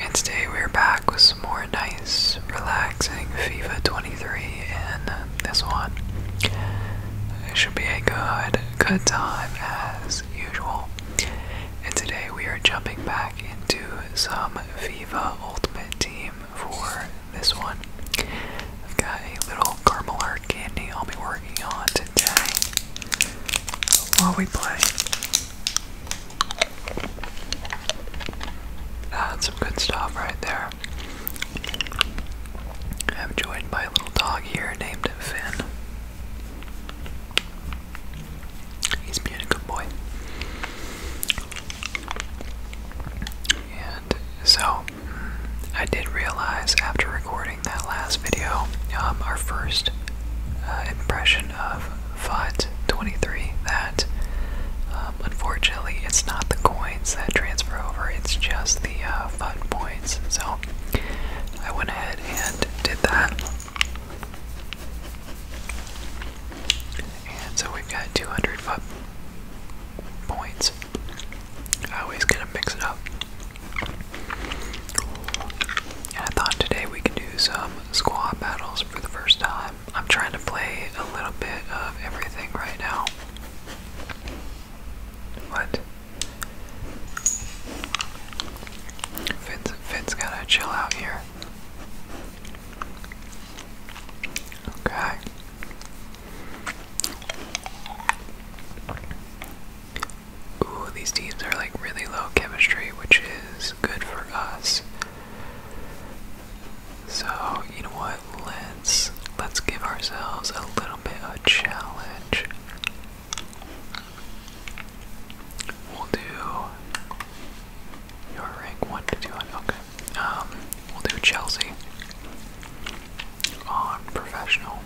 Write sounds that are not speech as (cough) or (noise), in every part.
And today we're back with some more nice, relaxing FIFA 23, and this one it should be a good, good time as usual. And today we are jumping back into some FIFA Ultimate Team for this one. I've got a little caramel heart candy I'll be working on today while we play. Ah, that's some good stuff right there. I'm joined by a little dog here named Finn. He's being a good boy. And so, I did realize after recording that last video, um, our first uh, impression of FUT 23 that um, unfortunately it's not the coins that transfer over, it's just the uh, FUT points. So I went ahead and did that. And so we've got 200 FUT points. I always get mix it up. And I thought today we could do some squad battles for the first time. I'm trying to play a little bit of everything right now. What? Fitz, Fitz gotta chill out here. Okay ooh, these teams are like really low chemistry, which is good for us. So you know what? Let's let's give ourselves a little bit of challenge. We'll do your rank one okay. Um, we'll do Chelsea on professional.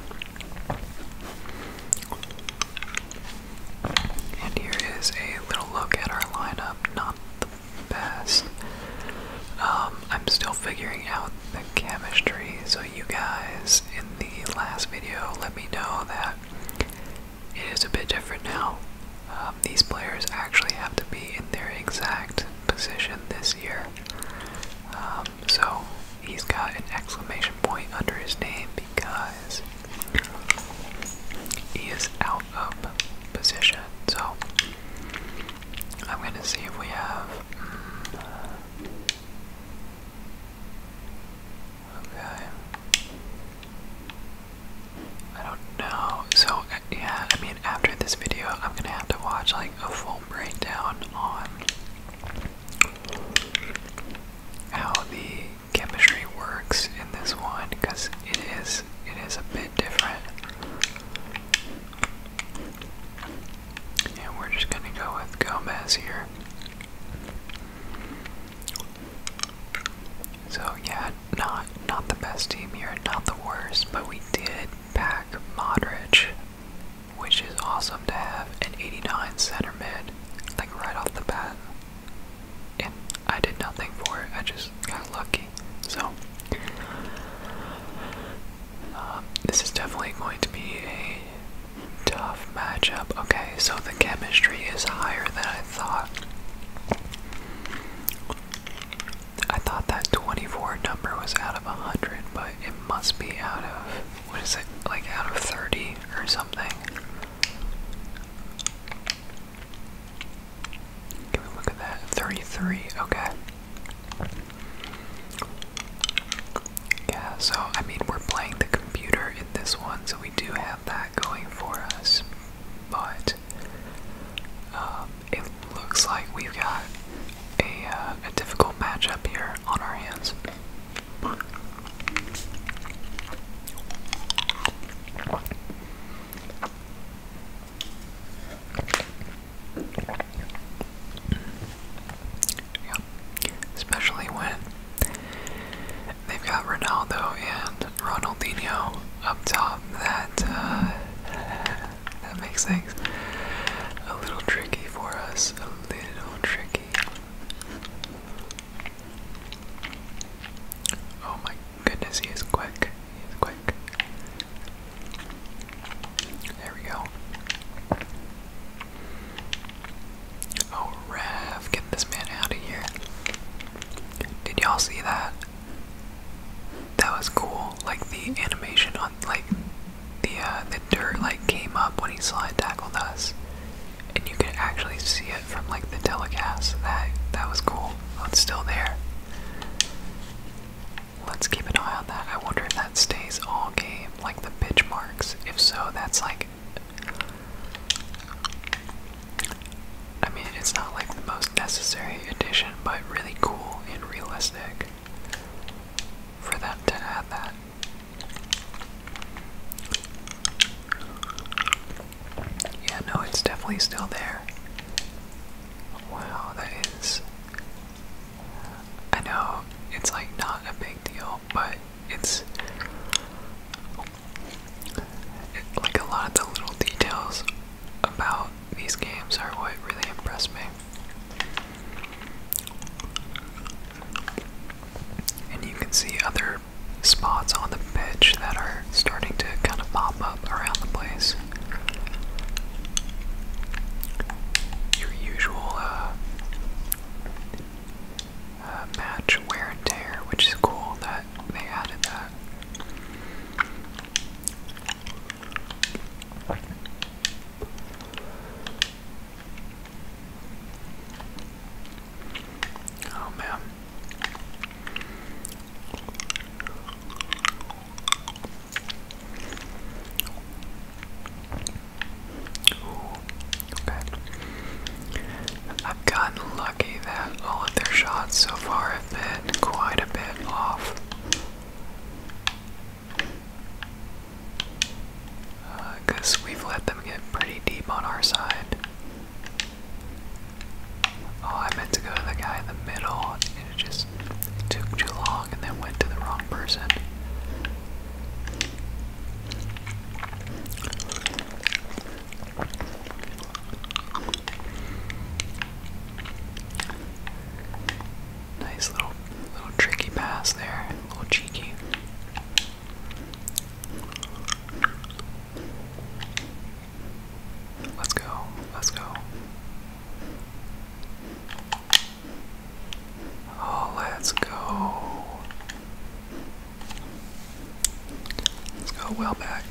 And here is a little look at our lineup. Not the best. Um, I'm still figuring out the chemistry, so you guys in the last video let me know that it is a bit different now. Um, these players actually have to be in their exact position this year. Um, so he's got an exclamation point under his name because he is out of position, so I'm gonna see if we have. Mm, okay. I don't know. So uh, yeah, I mean, after this video, I'm gonna have to watch like a full breakdown on how the chemistry works in this one because it is it is a bit different. And we're just gonna go with Gomez here. So yeah, not not the best team here, not the worst, but we did pack Modric, which is awesome to have an 89 center mid, like right off the bat and I did nothing for it. I just got lucky. So, um, this is definitely going to be a tough matchup. Okay, so the chemistry is higher than I thought. I thought that 24 number was out of 100, but it must be out of, what is it, like out of 30 or something. Give a look at that. 33, okay. Yeah, so I mean, we're playing the computer in this one, so we do have that going for us. But um, it looks like we've got a, uh, a difficult matchup here on our hands. Especially when they've got Ronaldo and Ronaldinho up top. That uh, that makes things a little tricky for us. A little tricky. Oh my goodness, he is quick. He is quick. There we go. Oh, Rev, get this man out of here. Did y'all see that? That was cool. Like the animation on, like the uh, the dirt like came up when he slide tackled us and you could actually see it from like the telecast. That that was cool. Oh, it's still there. Let's keep an eye on that. I wonder if that stays all game, like the bitch marks. If so, that's like I mean, it's not like the most necessary addition, but really cool and realistic for them to add that. Yeah, no, it's definitely still there. Wow, that is. I know it's like not a big deal, but it's. like a lot of the little details about these games are what really impressed me. And you can see other spots on the pitch that are starting to kind of pop up around the place. Your usual uh, uh, match wear and tear, which is cool that they added that. Oh man. I've gotten lucky that all of their shots so far have been quite a bit off. Because uh, we've let them get pretty deep on our side. Oh, I meant to go to the guy in the middle, it just took too long and then went to the wrong person. Nice little little tricky pass there, a little cheeky. Let's go. Let's go. Oh, let's go. Let's go well back.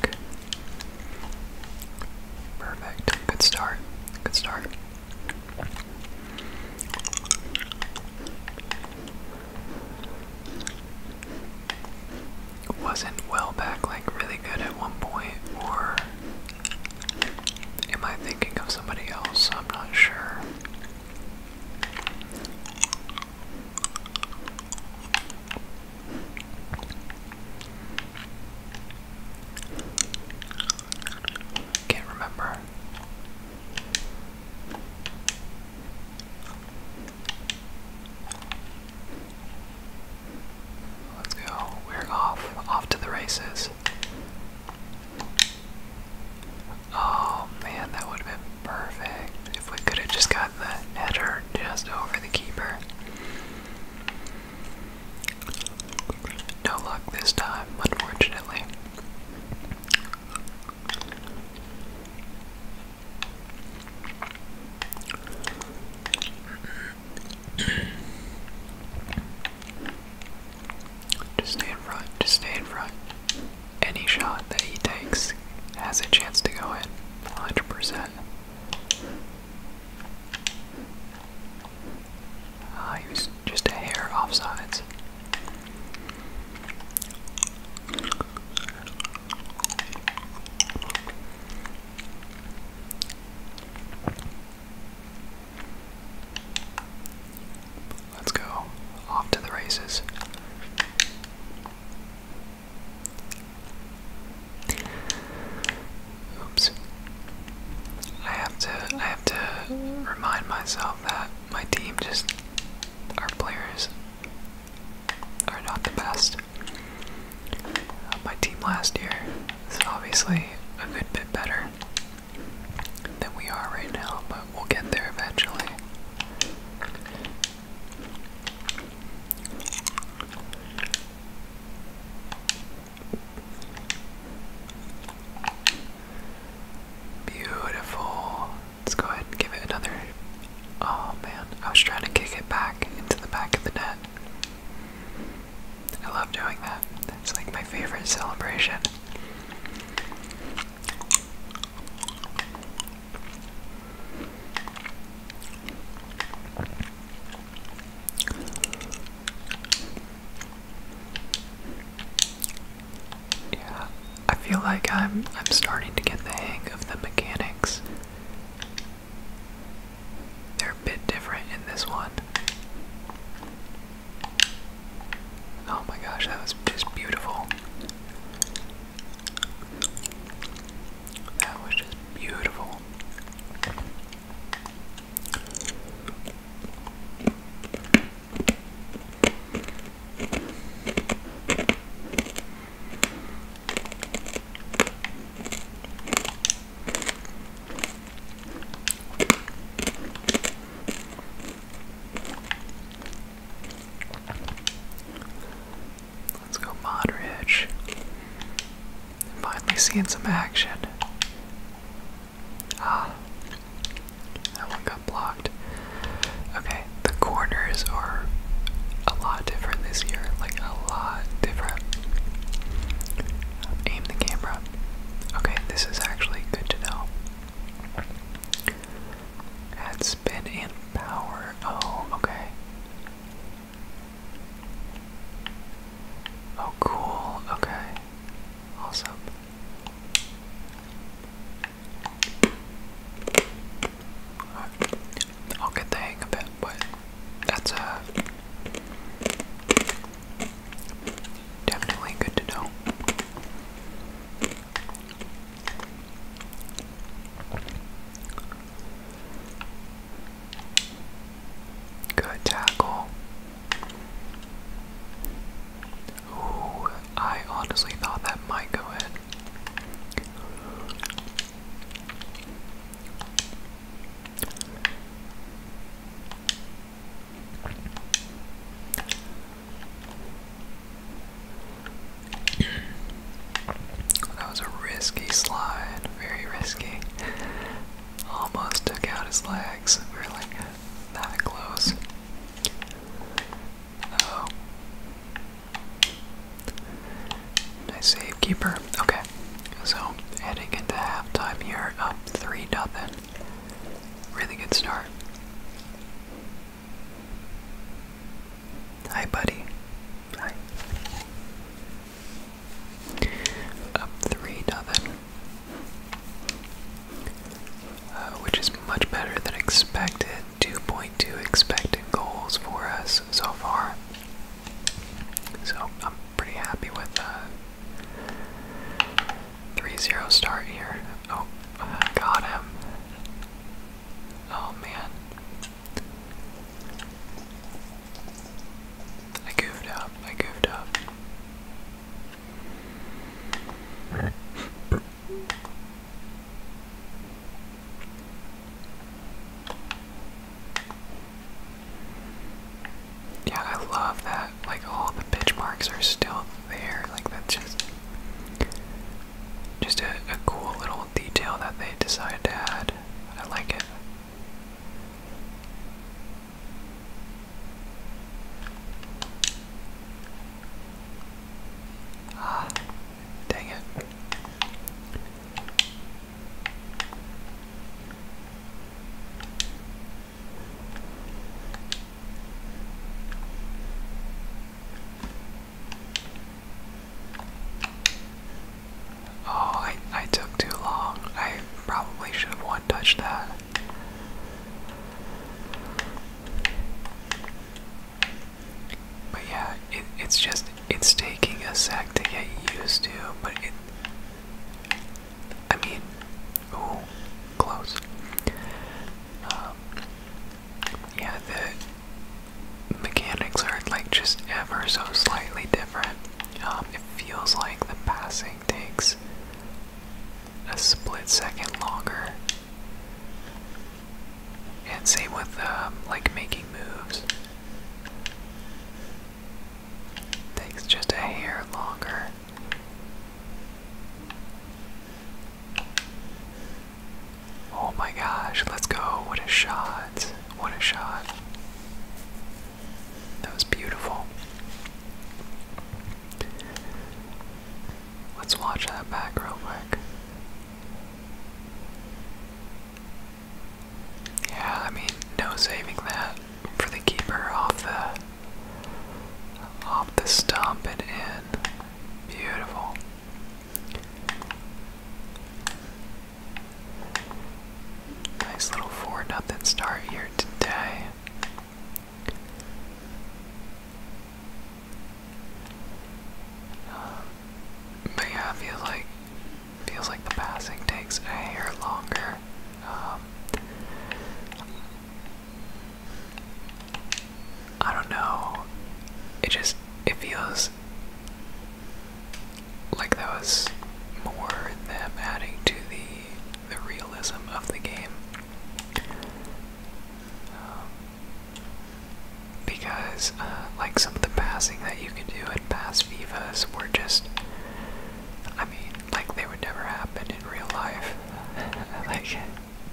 Perfect. Good start. Good start. Wasn't well back like really good at one point, or am I thinking of somebody else? I'm not sure. Can't remember. Let's go. We're off. Off to the races. Oh man, that would have been perfect if we could have just gotten the header just over the keeper. No luck this time, unfortunately. Just stay in front, just stay in front. Any shot that he takes has a chance to go in, 100%. Ah, he was just a hair offsides. Let's go off to the races. Oops. I have to I have to remind myself that my team just our players are not the best. Uh, my team last year is obviously a good bit better than we are right now, but we'll get there eventually. Beautiful. Let's go ahead and give it another. Oh man, I was trying to kick it back into the back of the net. I love doing that. That's like my favorite celebration. Yeah, I feel like I'm I'm starting to get the hang of the mechanics. They're a bit different in this one. Oh my gosh, that was just beautiful. That was just beautiful. Let's go Modridge. Finally seeing some action. Ah, that one blocked. Okay, the corners are a lot different this year. Like, a lot different. Aim the camera. Okay, this is actually good to know. Add spin and power. Oh, okay. Oh, cool. Okay. Awesome. I'll get the hang of it, but that's uh, definitely good to know. Good tackle. Ooh, I honestly thought that might go in. (clears throat) that was a risky slide, very risky. Almost took out his legs. We that close. Oh. Nice save, keeper. Okay. So, heading into halftime here, up 3 nothing. Really good start. Hi, buddy. Hi. Up 3 nothing. Uh, which is much better than expected. 2.2 expected goals for us so far. So I'm pretty happy with the 3 0 start here. Oh, I got him. Oh man. I goofed up. I goofed up. Yeah, I love that. Like all the pitch marks are still there. Like that's just just a, cool little detail that they decided to add. I like it. Ah, Dang it. Oh, I, I took too long. I probably should have one touched that. But yeah, it's just it's taking a sec to get used to, but it. I mean, ooh, close. Um, yeah, the mechanics are like just ever so slightly different. Um, it feels like the passing takes a split second longer and same with um, like making moves. Takes just a hair longer. Oh my gosh, let's go. What a shot. What a shot. That was beautiful. Let's watch that back real quick. Yeah, I mean, no saving that for the keeper off the off the stump and in. Beautiful. Nice little four nothing start here today. Um, but yeah, it feels like feels like the passing takes a hair longer. Um, I don't know. It just it feels like that was more them adding to the the realism of the game. Um, because uh, like some of the passing that you could do at past Vivas were just, I mean, like they would never happen in real life, (laughs) like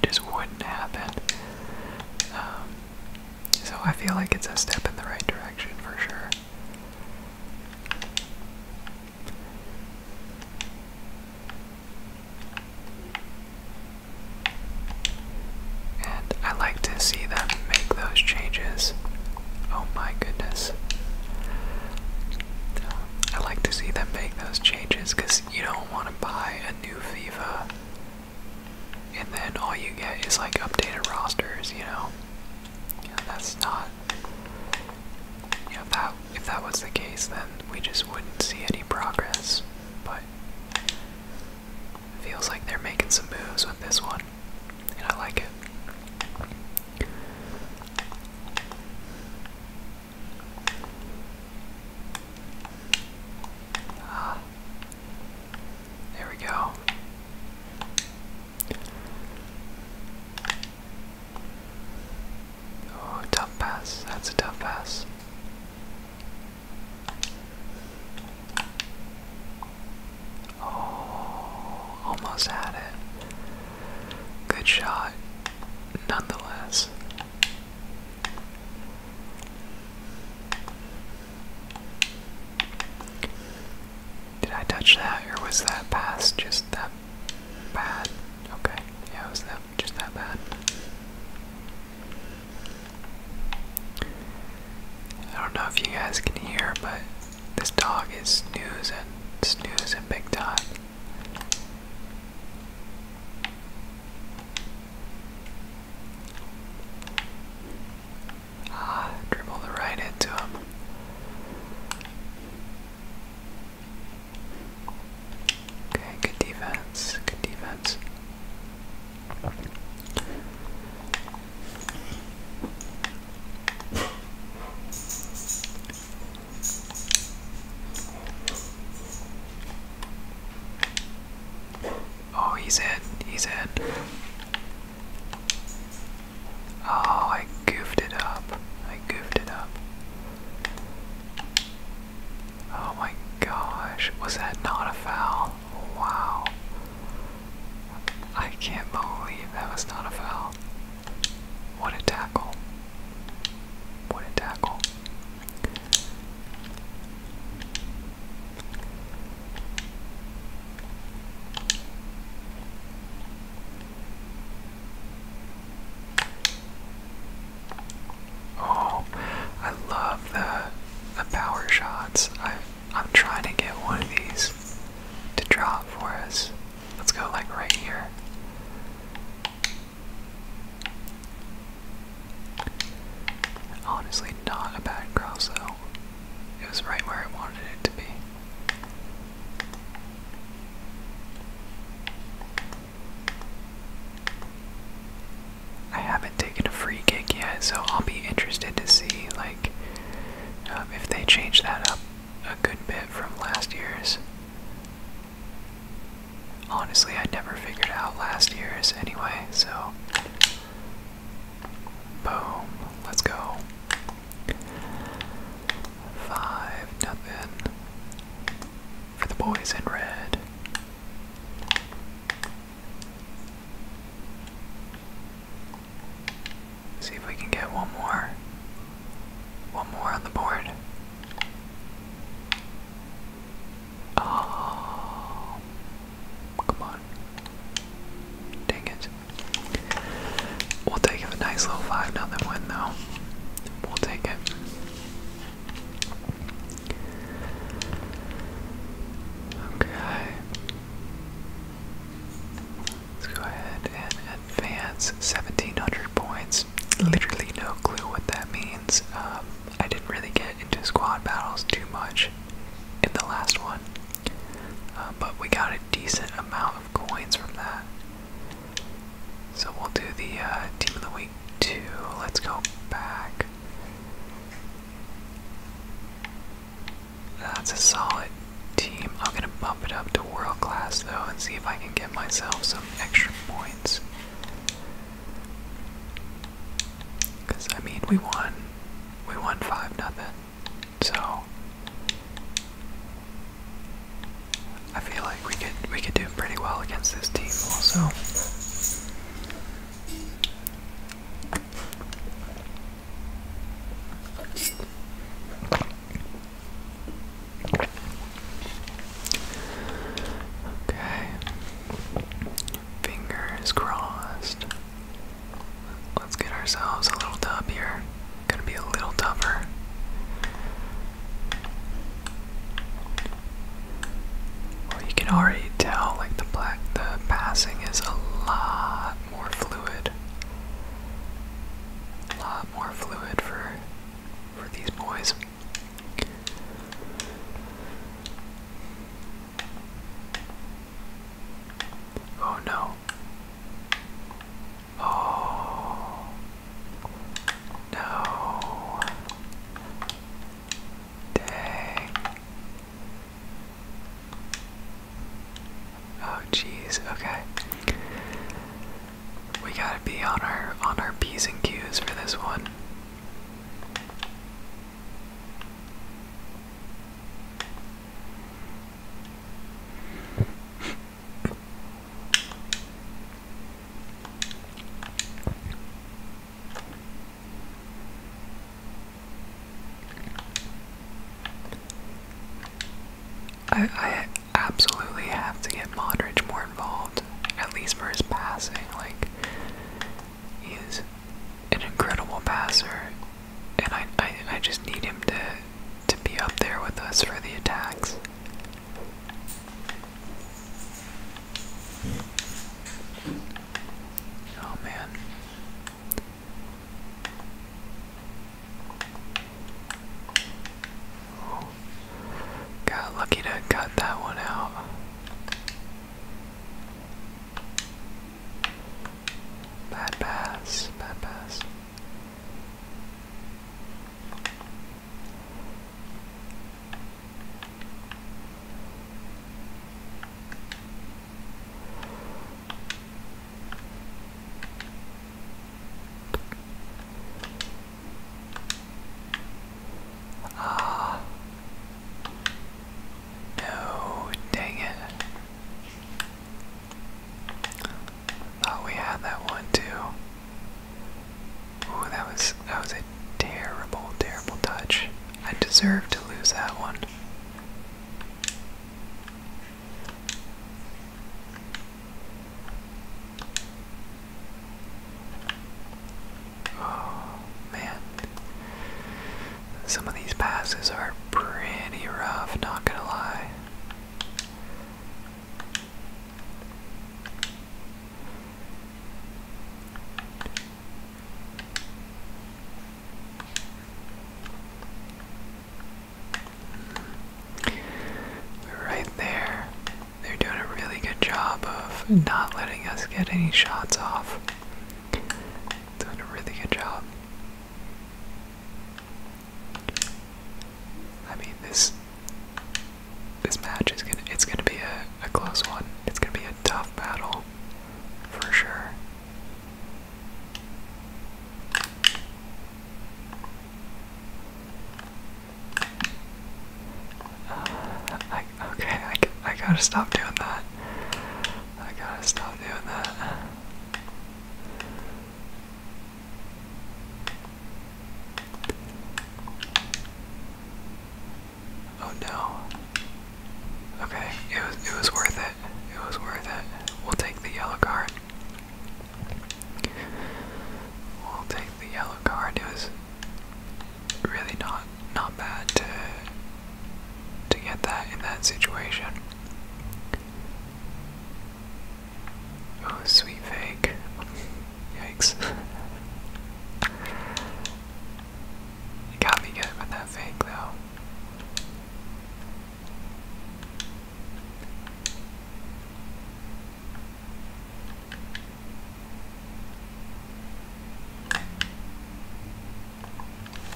just wouldn't happen. Um, so I feel like it's a step in the right direction for sure. And I like to see them make those changes. Oh my goodness. I like to see them make those changes because you don't want to buy a new FIFA and then all you get is like updated rosters, you know? Yeah, that's not. You if that, if that was the case, then we just wouldn't see any progress. But Feels like they're making some moves with this one, and I like it. Ah, there we go. Oh, tough pass. That's a tough pass. Oh, almost had it. Good shot, nonetheless. Did I touch that, or was that just that bad? Okay, yeah, it was that just that bad. I don't know if you guys can hear, but this dog is snoozing, snoozing big time. Ah, dribble the right into him. Okay, good defense, good defense. Oh, he's in. He's in. Oh, I goofed it up. I goofed it up. Oh my gosh. Was that not a foul? Wow. I can't believe that was not a foul. What a tackle. What a tackle. Oh, I love the the power shots. I I'm trying to get one of these to drop for us. Let's go like right here. Honestly, not a bad cross though. It was right where I wanted it to be. I haven't taken a free kick yet, so I'll be interested to see like um, if they change that up a good bit from last year's. Honestly, I never figured out last year's anyway, so boom, let's go. Five nothing for the boys in red. See if we can get one more. One more on the board. Oh, come on. Dang it. We'll take a nice little 5 nothing win, though. We'll take it. Okay. Let's go ahead and advance 1700 points. Literally no clue what that means. Um, I didn't really get into squad battles too much in the last one, um, but we got a decent amount of coins from that. So we'll do the uh, Team of the Week too. Let's go back. That's a solid team. I'm going to bump it up to world class though and see if I can get myself some extra points. Because, I mean, we won. We won 5 nothing. So. I feel like we could we could do pretty well against this team also. Okay. Fingers crossed. Let's get ourselves a little dub here. Gonna be a little tougher you can already tell, like the black, the passing is a lot more fluid. A lot more fluid for for these boys. Oh no. Oh. No. Dang. Oh jeez, okay. We gotta be on our on our P's and Q's for this one. I, I absolutely have to get Modric more involved, at least for his passing. Like, he's an incredible passer, and I, I, I just need him to, to be up there with us for the attacks. Oh man. Got lucky to cut that one out. Bad pass, bad pass. Ah. no, dang it. Thought oh, we had that one too. Ooh, that was that was a terrible, terrible touch. I deserve to lose that one. Oh, man. Some of these passes are pretty rough, not gonna lie right there. They're doing a really good job of not letting us get any shots off. Doing a really good job. I mean this this match is gonna it's gonna be a close one. It's gonna be a tough battle for sure. Uh, okay, I, I gotta stop doing that. I gotta stop doing that. Oh no. Okay, it was it was worth it. It was worth it. We'll take the yellow card. We'll take the yellow card. It was really not not bad to to get that in that situation. Oh, sweet fake. Yikes. He got me good with that fake though.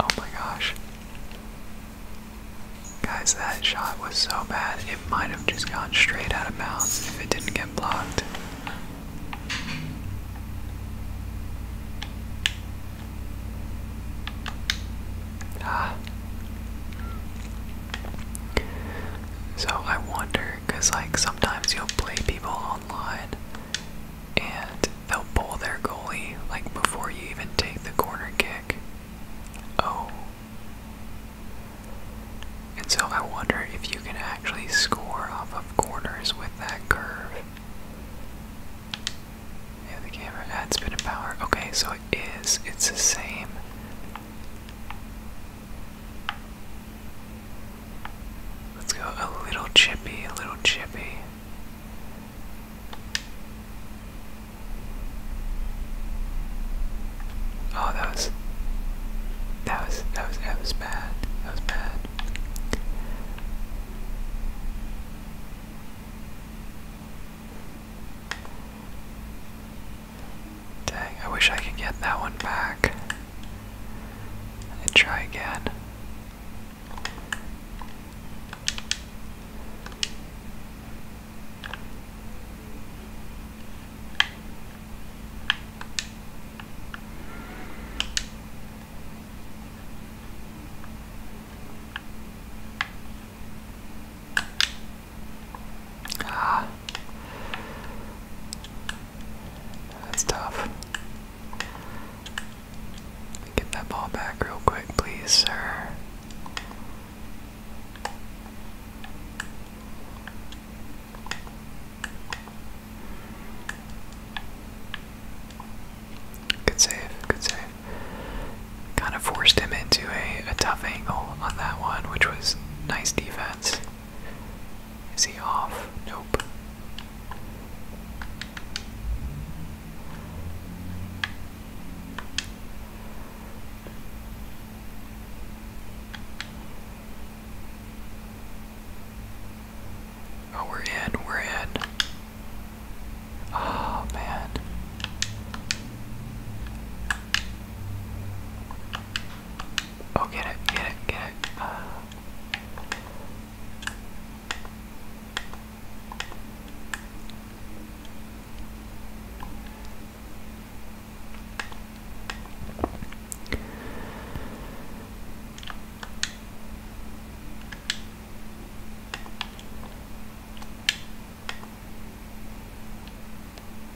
Oh my gosh. Guys, that shot was so bad, it might have just gone straight out of bounds if it didn't get blocked. So I wonder, because like sometimes you'll play people online and they'll bowl their goalie like before you even take the corner kick. Oh. And so I wonder if you can actually score off of corners with that curve. Yeah, the camera adds bit of power. Okay, so it is. It's the same. Let's go a little chippy, a little chippy. Oh, that was. That was. That was. That was bad. That was bad. Dang, I wish I could get that one back. And try again. Ah. That's tough. Get that ball back real quick, please, sir. Good save, good save. Kind of forced him into a, a tough angle on that one, which was nice defense. Is he off? Nope. Oh, we're in, we're in. Oh, man. Oh, get it, get it, get it. Uh.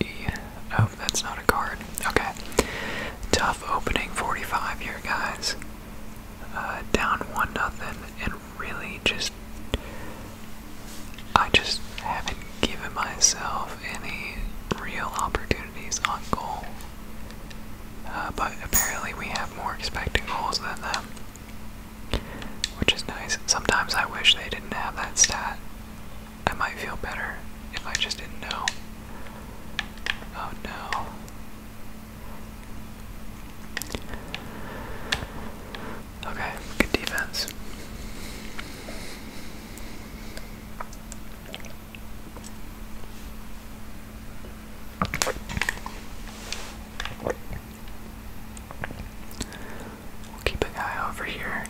Yeah. Oh, that's not a card. Okay. Tough opening 45 here, guys. Uh, down 1 nothing, and really just. I just haven't given myself any real opportunities on goal. Uh, but apparently, we have more expecting goals than them, which is nice. Sometimes I wish they didn't have that stat. I might feel better if I just didn't know. Oh no. Okay, good defense. We'll keep an eye over here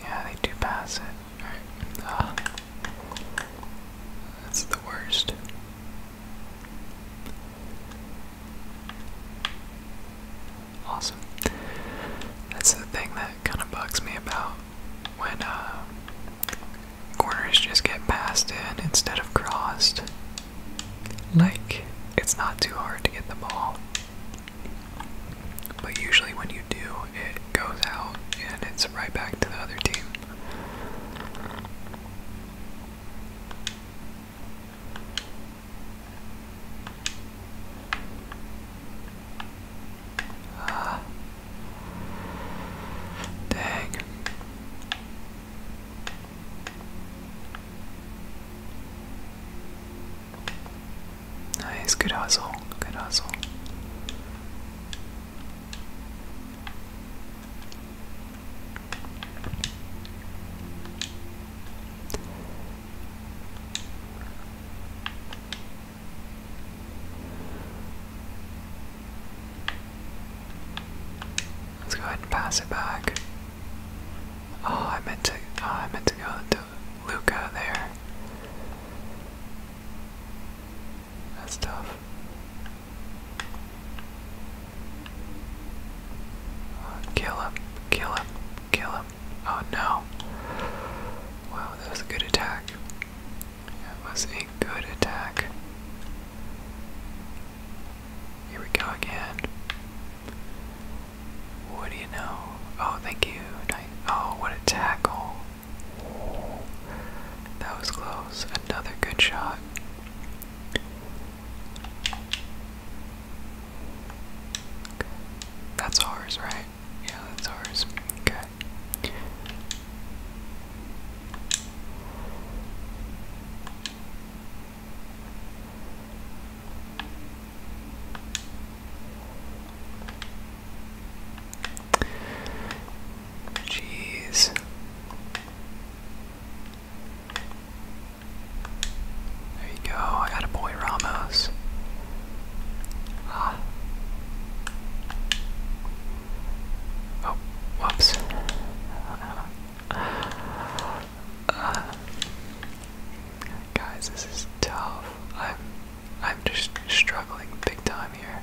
yeah, they do pass it. Ah. That's the worst. Awesome. That's the thing that kind of bugs me about when uh, corners just get passed in instead of crossed. Like, it's not too hard to get the ball. But usually when you do, it goes out and it's right back to the other team. Uh, Dang. Nice, good hustle, good hustle. Let's go ahead and pass it back. Oh, I meant to. Oh, I meant to go to Luca there. That's tough. Oh, kill him! Kill him! Kill him! Oh no! Wow, that was a good attack. That was a good attack. Here we go again. What do you know? Oh, thank you. Oh, what a tackle. That was close. Another good shot. That's ours, right? Yeah, that's ours. Okay. Jeez. There you go. I got a boy Ramos. Ah. Oh, whoops. Uh, guys, this is tough. I'm I'm just struggling big time here.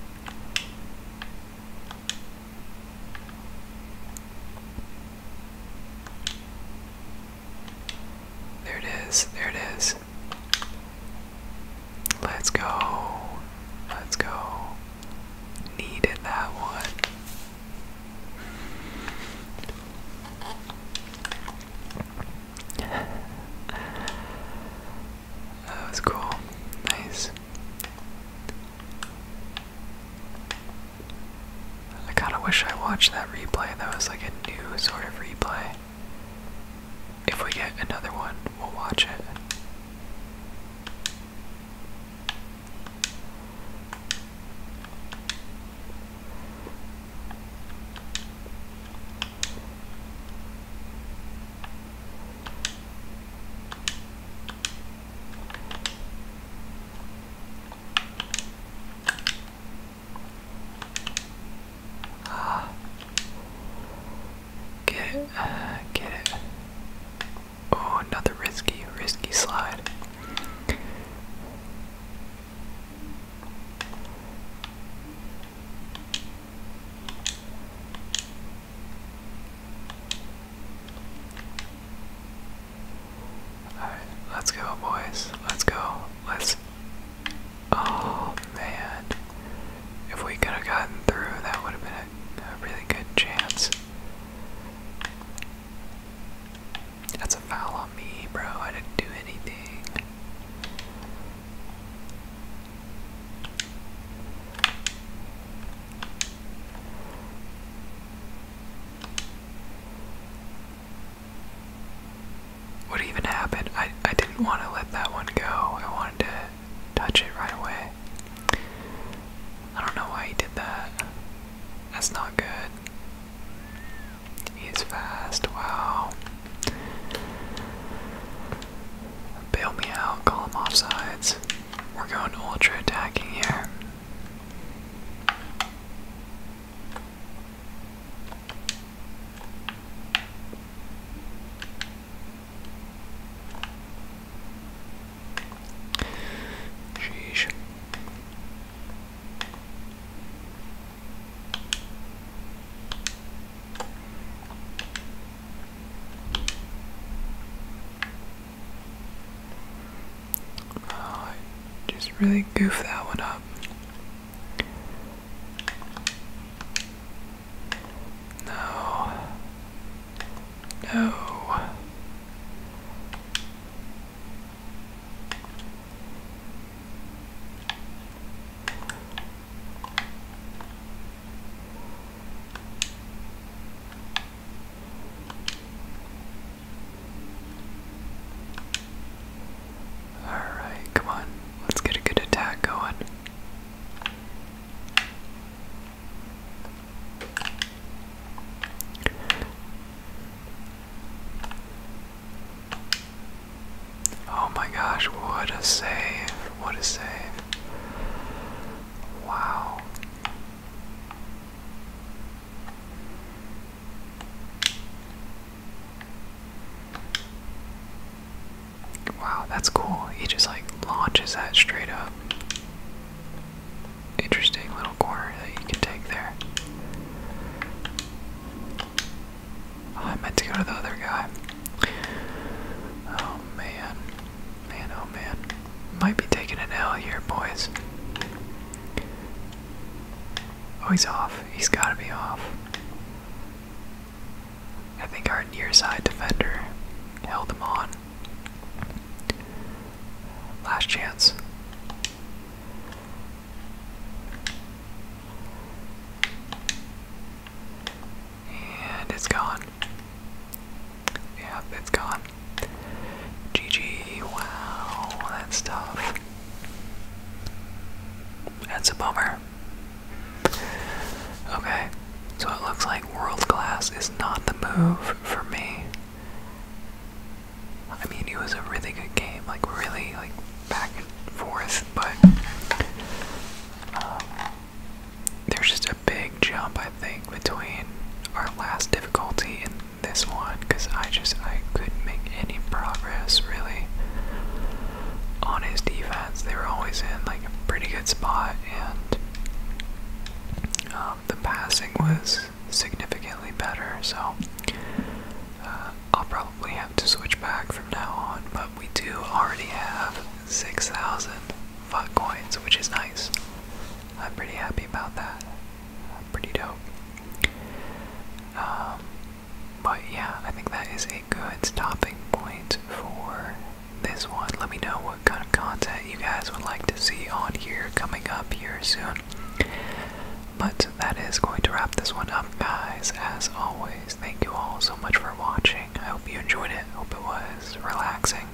There it is. There it is. Let's go. Let's go. Needed that one. that was cool. Nice. I kind of wish I watched that replay. That was like a new sort of replay. If we get another one, we'll watch it. Ah. Get it. Uh, get it. Oh, another risky, risky slide. Alright, let's go, boys. Let's go. Let's. Oh, man. If we could have gotten through, that would have been a really good chance. That's a foul on me, bro. I didn't do anything. What even happened? I I didn't want to let that one go. I wanted to touch it right away. I don't know why he did that. That's not good. He's fast. Wow. Bail me out. Call him offsides. We're going ultra attacking here. Sheesh. Oh, I just really goofed that one up. No. No. All right, come on. Let's get a good attack going. Oh my gosh, what a save! What a save! Wow. Wow, that's cool. He just like launches that straight up interesting little corner that you can take there. Oh, I meant to go to the other guy. Oh man. Man, oh man. Might be taking an L here, boys. Oh, he's off. He's gotta be off. I think our near side defender held him on. Last chance. And it's gone. Yeah, it's gone. GG, wow, that's tough. That's a bummer. Okay. So it looks like world class is not the move for me. I mean, it was a really good game, like really, like back and forth, but um, there's just a big jump, I think, between our last difficulty and this one, because I just I couldn't make any progress really on his defense. They were always in like a pretty good spot, and um, the passing was significantly better, so uh, I'll probably have to switch back from now on. But we do already have 6,000 fuck coins, which is nice. I'm pretty happy about that. Pretty dope. Um, but yeah, I think that is a good stopping point for this one. Let me know what kind of content you guys would like to see on here coming up here soon. But that is going to wrap this one up, guys. As always, thank you all so much for watching. I hope you enjoyed it. Hope it was relaxing.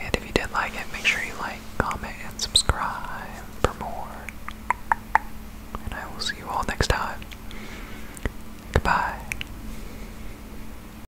And if you did like it, make sure you like, comment, and subscribe for more. And I will see you all next time. Goodbye.